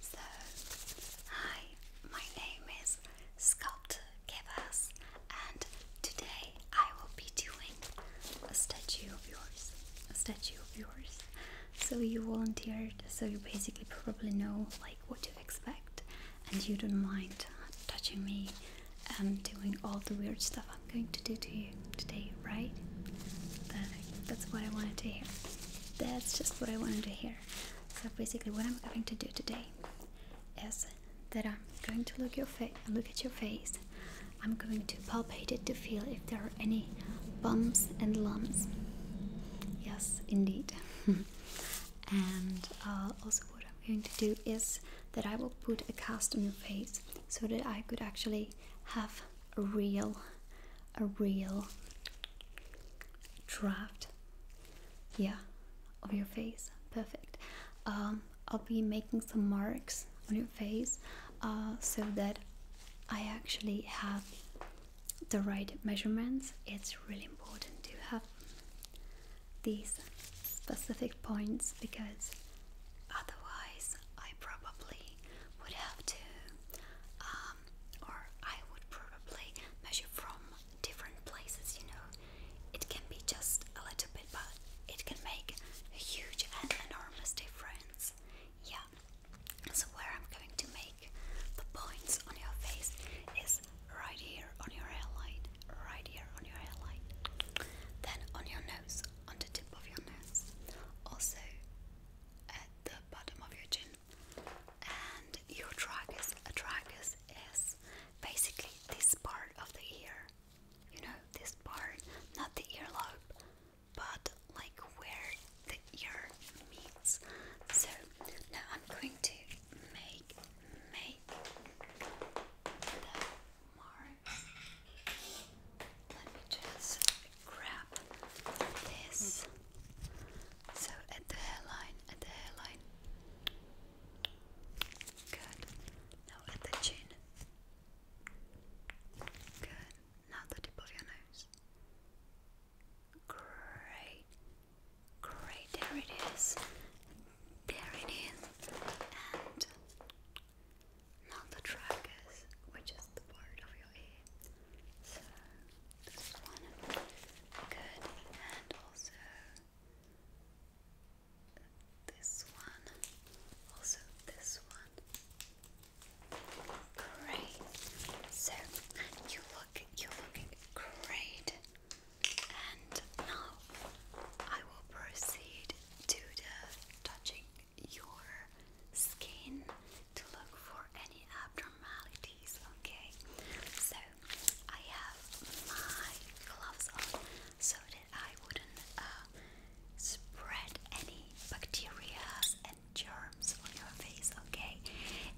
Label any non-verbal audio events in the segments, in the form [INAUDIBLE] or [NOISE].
So, hi, my name is Sculptor Kevas, and today I will be doing a statue of yours. A statue of yours. So, you volunteered, so you basically probably know like what to expect, and you don't mind touching me and um, doing all the weird stuff I'm going to do to you today, right? That's what I wanted to hear. That's just what I wanted to hear. So basically, what I'm going to do today is that I'm going to look your face, look at your face. I'm going to palpate it to feel if there are any bumps and lumps. Yes, indeed. [LAUGHS] and uh, also, what I'm going to do is that I will put a cast on your face so that I could actually have a real a real draft yeah of your face perfect um, I'll be making some marks on your face uh, so that I actually have the right measurements it's really important to have these specific points because otherwise I probably would have to um, or I would probably measure from different places, you know. It can be just a little bit, but it can make a huge and enormous difference. Yeah. So, where I'm going to make the points on your face is right here on your hairline, right here on your hairline, then on your nose, on the tip of your nose, also. Uh, the bottom of your chin. And your tragus, tragus is basically this part of the ear. You know, this part, not the earlobe, but like where the ear meets. So now I'm going to make make the marks. Let me just grab this. So at the hairline, at the hairline. Good. Now at the chin. Good. Now the tip of your nose. Great. Great. There it is. There it is. And not the tragus, which is the part of your ear. So this is good, and also this one, also this one. Great. So you look, you're looking great. And now I will proceed to the touching your skin to look for any abnormalities, okay? So, I have my gloves on so that I wouldn't uh, spread any bacteria and germs on your face, okay?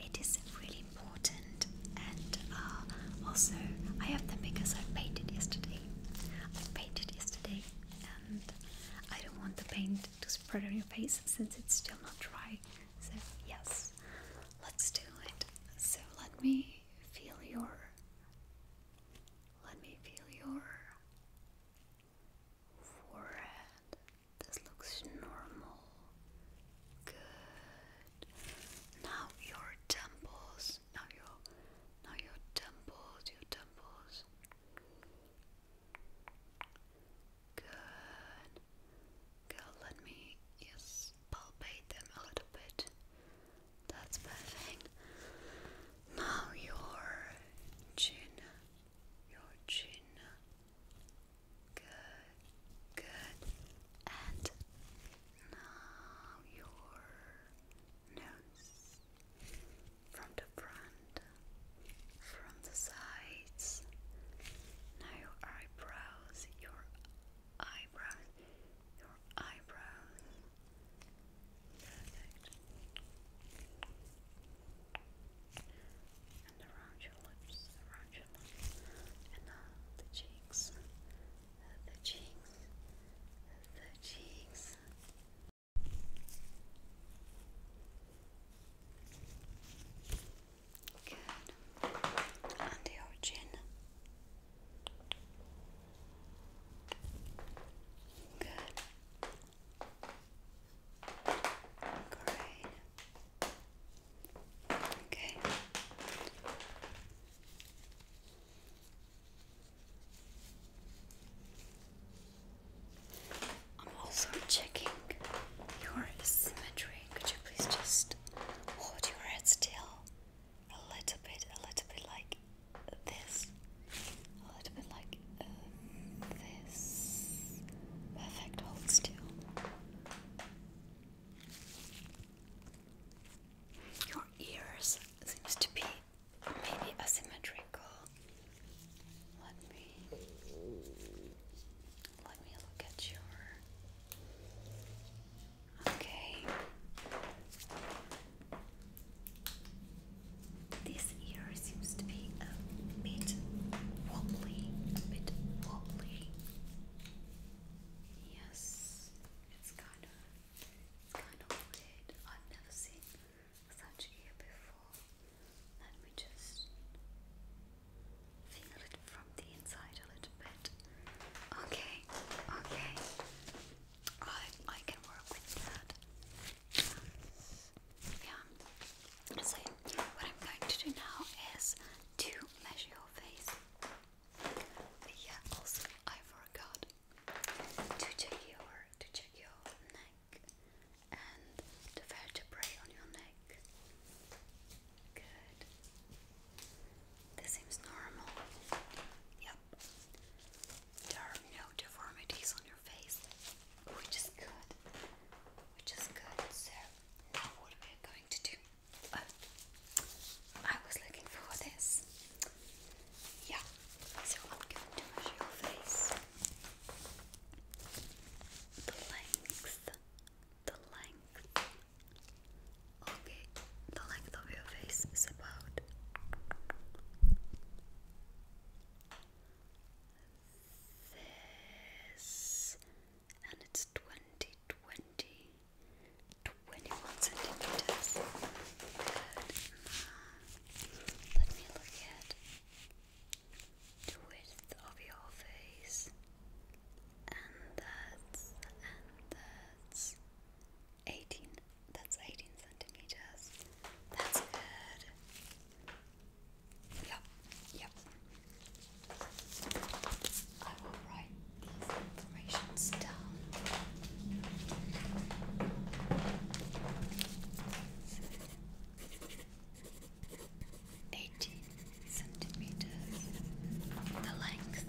It is really important, and uh, also I have them because I painted yesterday. I painted yesterday, and I don't want the paint to spread on your face since it's still not dry. So, yes, let's do it. So, let me feel your. Let me feel your forehead. This looks normal. Good. Now your temples. Now your now your temples. Your temples. Good. let me palpate them a little bit. That's perfect. Now your chin, your chin. Good, good. And now your nose, from the front, from the sides. Now your eyebrows, your eyebrows, your eyebrows. Perfect. And around your lips, around your lips, and now the cheeks, the cheeks, the cheeks, Good. And your chin. Good. Great. Okay. I'm also checking your symmetry. Could you please just hold your head still a little bit, a little bit like this, a little bit like uh, this? Perfect, hold still. Your ears seems to be maybe asymmetrical. Let me let me look at your okay. This ear seems to be a bit wobbly, bit wobbly. Yes, it's kind of, it's kind of weird. I've never seen such ear before. Let me just feel it from the inside a little bit. Okay, okay. I I can work with that. Yeah. So what I'm going to do now is to measure your face. Yeah. Also, I forgot to check your to check your neck and the vertebrae on your neck. Good. This seems normal. Yep. There are no deformities on your face, which is good. Which is good. So now what we going to do. Uh, I was looking for this. Yeah, so I'm going to measure your face. The length, the length. Okay, the length of your face is about this, and it's 20, 21 centimeters. Good. Let me look at width of your face. And that's, and that's 18. That's 18 centimeters. That's good. Yep, yep. I will write these Eighteen centimeters. The length.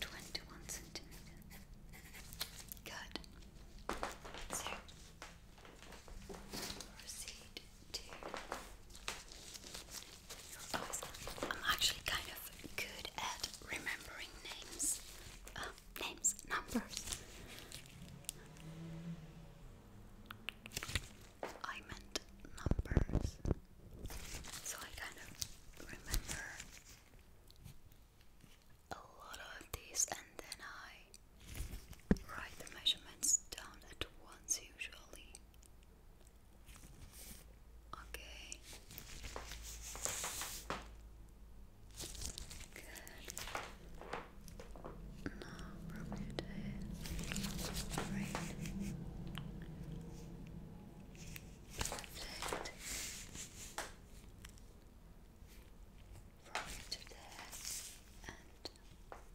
Twenty-one centimeters. Good. So proceed I'm actually kind of good at remembering names, uh, names, numbers. I meant numbers, so I kind of remember a lot of these, and then I write the measurements down at once usually. Okay. Good. Now from your tail. Right. Perfect. From to and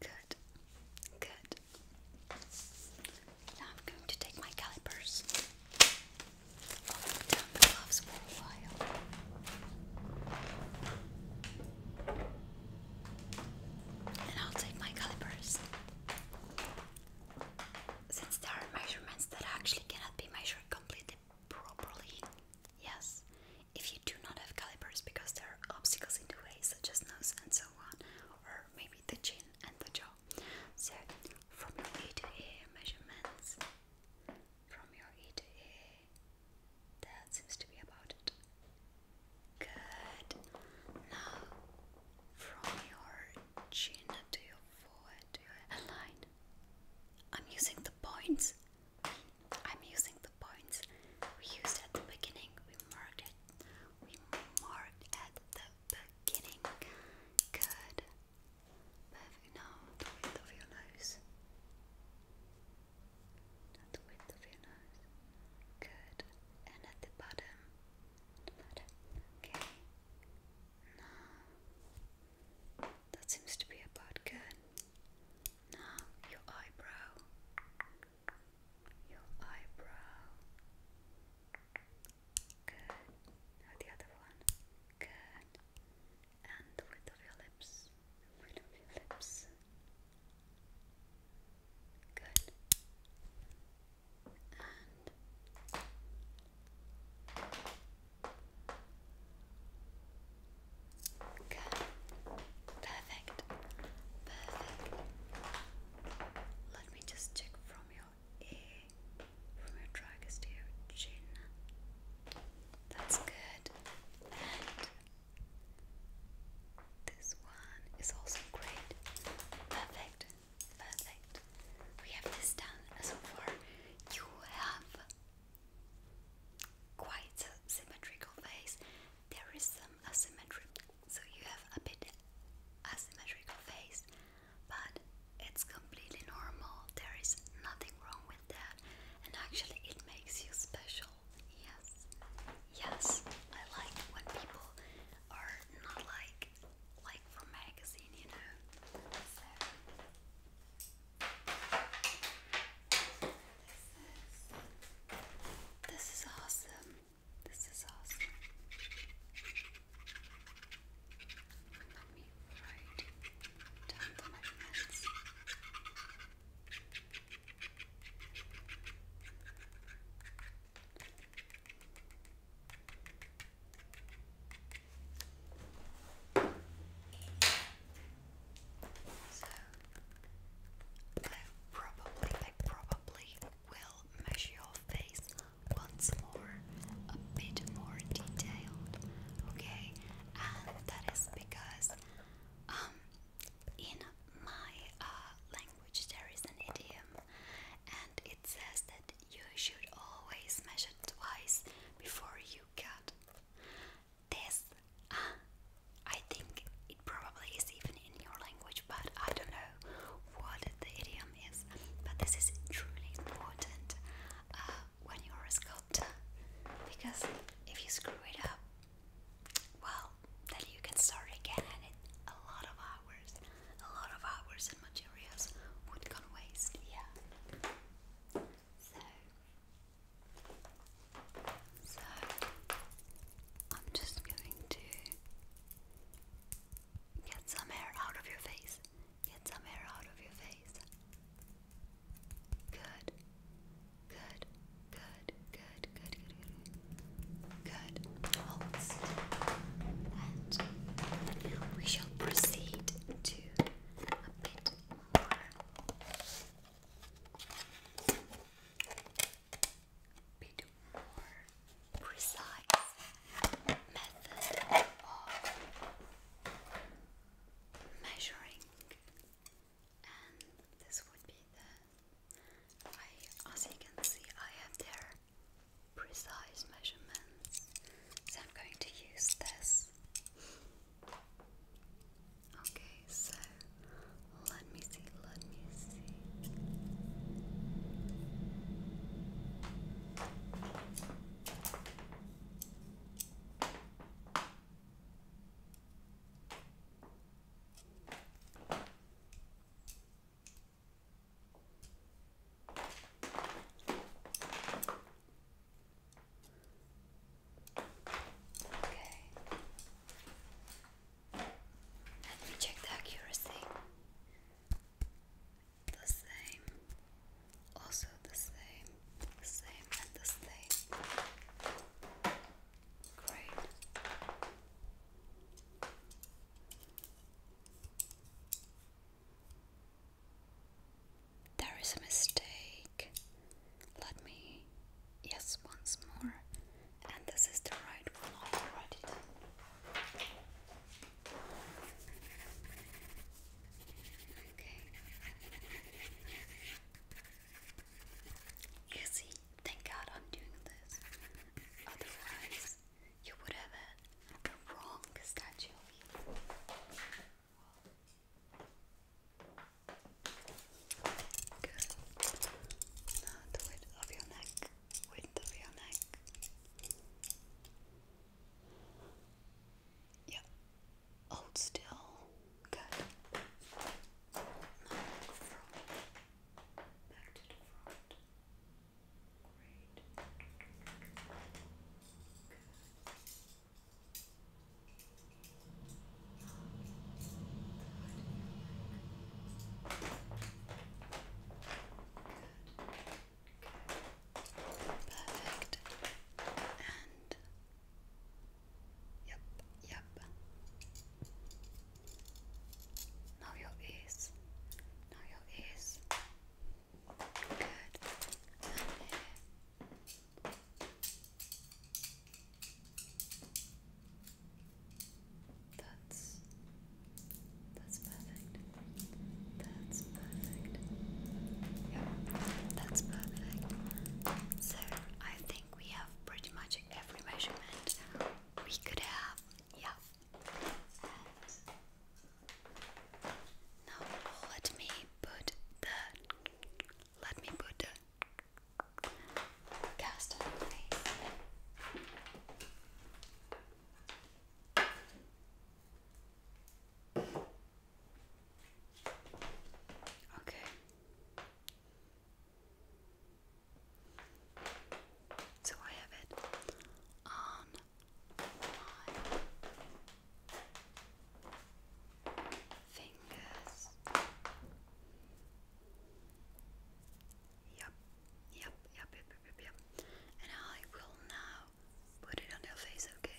Good. Good. Now I'm going to take my calipers. put down the gloves for a while. And I'll take my calipers. Since there are measurements that actually cannot be measured completely properly, yes, if you do not have calipers because there are obstacles in the way, such as nose and so on, or maybe the chin and the jaw. So, from your ear measurements, from your ear that seems to be about it. Good. Now, from your chin to your forehead to your hairline, I'm using the points I'm using the points we used at the beginning. We marked it. We marked at the beginning. Good. Perfect. Now the width of your nose. the width of your nose. Good. And at the bottom. The bottom. Okay. Now that seems to be about good. Now your eyebrow, your eyebrow. Good. Now the other one. Good. And the width of your lips. width of your lips. Good. And Good. Perfect. Perfect. Let me just check from your ear, from your tragus to That's good. And this one is also great. Perfect. Perfect. We have this done so far. You have quite a symmetrical face. There is some asymmetry, so you have a bit asymmetrical face, but it's completely normal. There is nothing wrong with that, and actually, it makes you special. Yes, yes, I like when people are not like like from magazine, you know this? is awesome. This is awesome. Let me write down the measurements. So I probably, I probably will measure your face once more, a bit more detailed, okay? And that is because um in my uh, language there is an idiom and it says that you should always measure twice before you cut. This, uh, I think it probably is even in your language, but I don't know what the idiom is. But this is truly important uh, when you're a sculptor, because if you screw it up, well, then you can start again, and it, a lot of hours, a lot of hours I'm just going to get some hair out of your face. Get some hair out of your face. Good. Good. Good. Good. Good. Good. Good. Good. And we shall proceed to a bit more. precise method of measuring, and this would be the. as you can see, I have there precise measurements. So I'm going to use this. Okay, so let me see, let me see. Okay. Let me check the accuracy. The same. Also the same. The same and the same. Great. There is a mistake. Let me. Yes, once more. And this is the right one. I've read it. Okay. You see, thank God I'm doing this. Otherwise, you would have had the wrong statue. Good. Now the width of your neck. Width of your neck. Yeah. Hold still. Good. back, to the front. Great. Good. Perfect. And yep, yep. Now your ears. Now your ears. Good. that's that's perfect. That's perfect. Yep, that's perfect. So I think we have pretty much every measurement we could have. Yeah, and now let me put the let me put the cast on Okay. So I have it on fingers. Yep, yep, yep, yep, yep, yep, And I will now put it on your face, okay?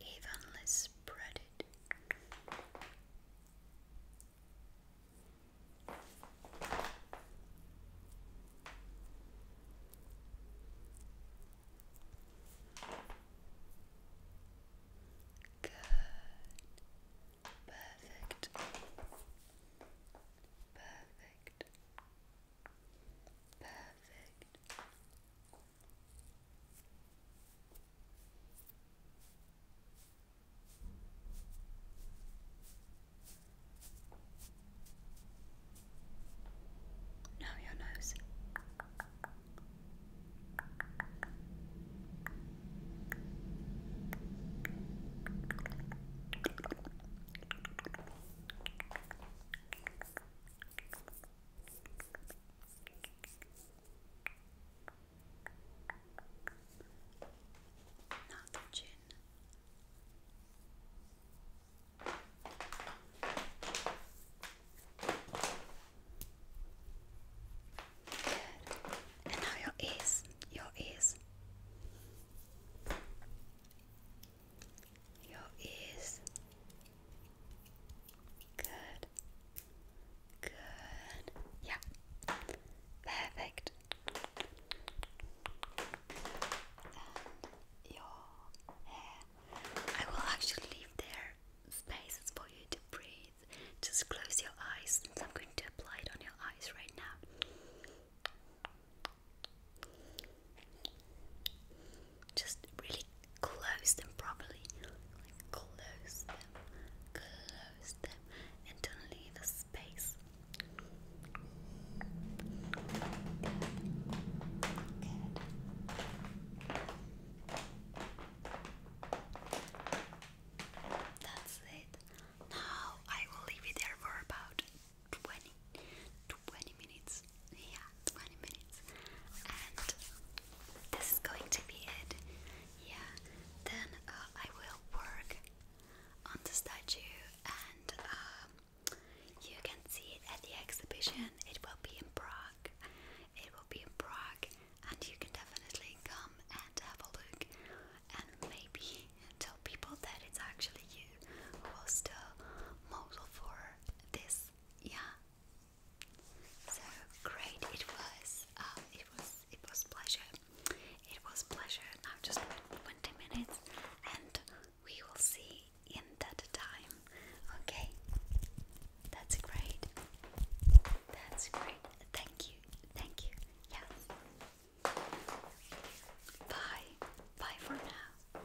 evenly spread it. Good. Perfect. Perfect. Perfect. No, your nose. Not the chin. And now your ears, your ears your ears. Good. Good. Yeah. Perfect. And your hair. I will actually leave there spaces for you to breathe. Just close your eyes I'm going to apply it on your eyes right now. Just really close them properly. close them, close them, and don't leave a space. Good. That's it. Now I will leave it there for about 20 minutes minutes. Yeah, 20 minutes. And this is going to be it. Yeah, then uh, I will work on the statue and um, you can see it at the exhibition. It will be in Prague. It will be in Prague and you can definitely come and have a look and maybe tell people that it's actually you who was the model for this yeah. So great it was. Um, it was it was pleasure. It was pleasure. I'm just twenty minutes, and we will see in that time. Okay, that's great. That's great. Thank you. Thank you. Yes. Bye. Bye for now.